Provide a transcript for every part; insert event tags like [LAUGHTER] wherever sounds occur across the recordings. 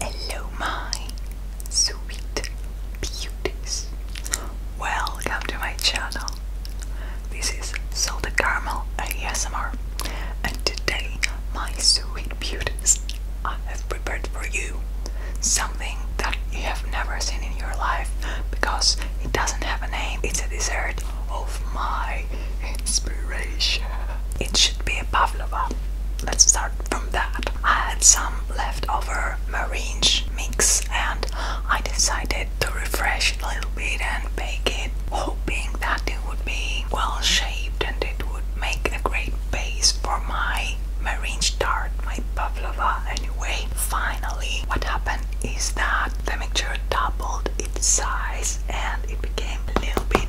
Hello, my sweet beauties. Welcome to my channel. This is Salted Caramel ASMR, and today, my sweet beauties, I have prepared for you something that you have never seen in your life because it doesn't have a name. It's a dessert of my inspiration. It should be a pavlova. Let's start from that. I had some leftover maringe mix and I decided to refresh it a little bit and bake it, hoping that it would be well shaped and it would make a great base for my marine start, my pavlova anyway. Finally, what happened is that the mixture doubled its size and it became a little bit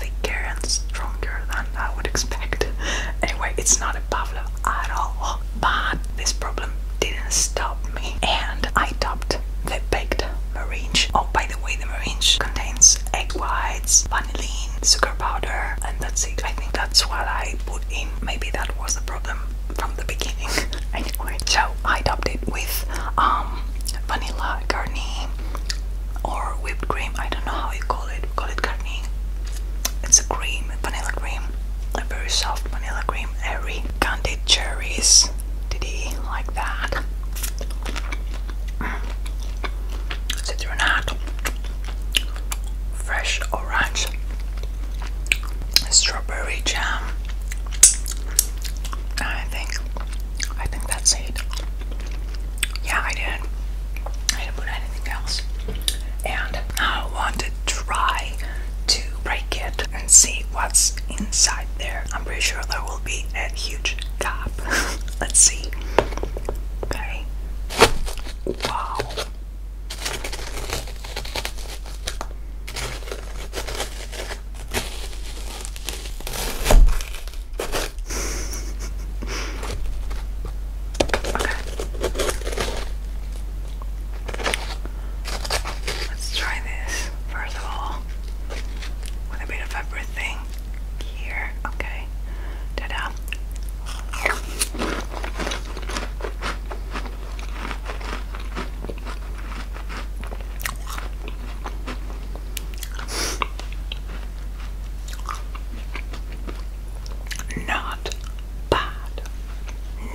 thicker and stronger than I would expect. [LAUGHS] anyway, it's not a pavlova at all, but this problem didn't stop me and I topped the baked meringue. Oh, by the way, the meringue contains egg whites, vanillin, sugar powder, and that's it. I think that's what I put in Maybe that was the problem from the beginning. [LAUGHS] anyway, so I topped it with um, vanilla garni or whipped cream. I don't know how you call it. We call it garni. It's a cream, vanilla cream, a very soft vanilla cream. Airy candied cherries. Did he like that? Mm. Citronade fresh orange strawberry jam. I think I think that's it. Yeah, I didn't I didn't put anything else. And I want to try to break it and see what's inside there. I'm pretty sure there will be a huge gap. [LAUGHS] Let's see. Okay. Wow. Let's try this first of all with a bit of everything here. Okay. Ta da! Not bad,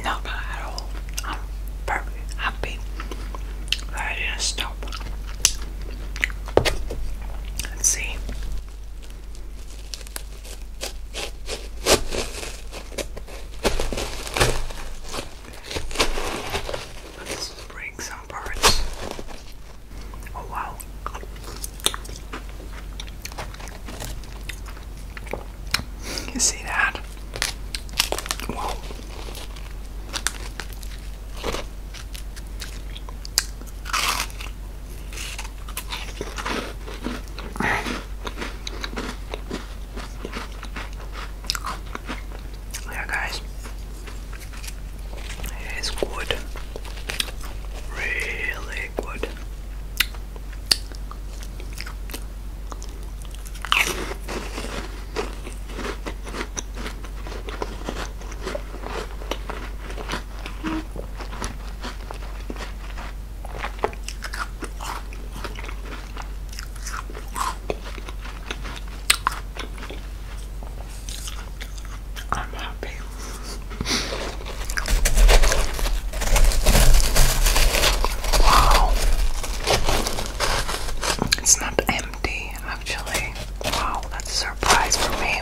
not bad at all. I'm very happy I didn't stop. Let's see. Let's break some parts. Oh, wow. You see that? Wow. Yeah, guys, it is good, really good. I'm happy. Wow. It's not empty, actually. Wow, that's a surprise for me.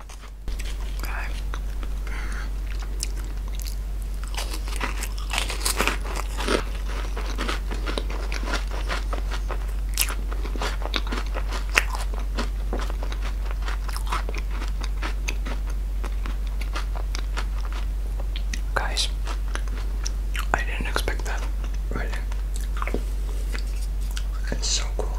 Okay. Guys, I didn't expect that. Right. It's so cool.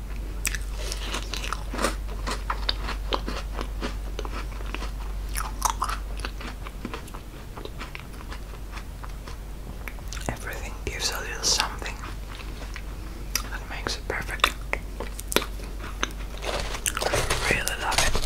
Everything gives a little something that makes it perfect. I really love it.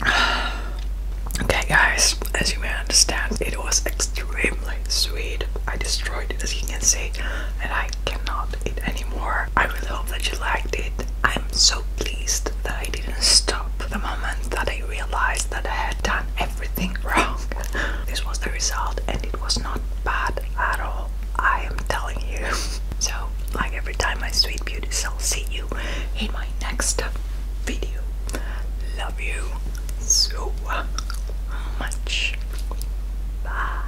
[SIGHS] Okay, guys, as you may understand, it was extremely sweet. I destroyed it, as you can see, and I cannot eat anymore. I really hope that you liked it. I'm so pleased that I didn't stop the moment that I realized that I had done everything [LAUGHS] wrong. this was the result, and it was not bad at all. I am telling you. [LAUGHS] So, like every time, my sweet beauty, so I'll see you in my next video. Love you so much. Bye.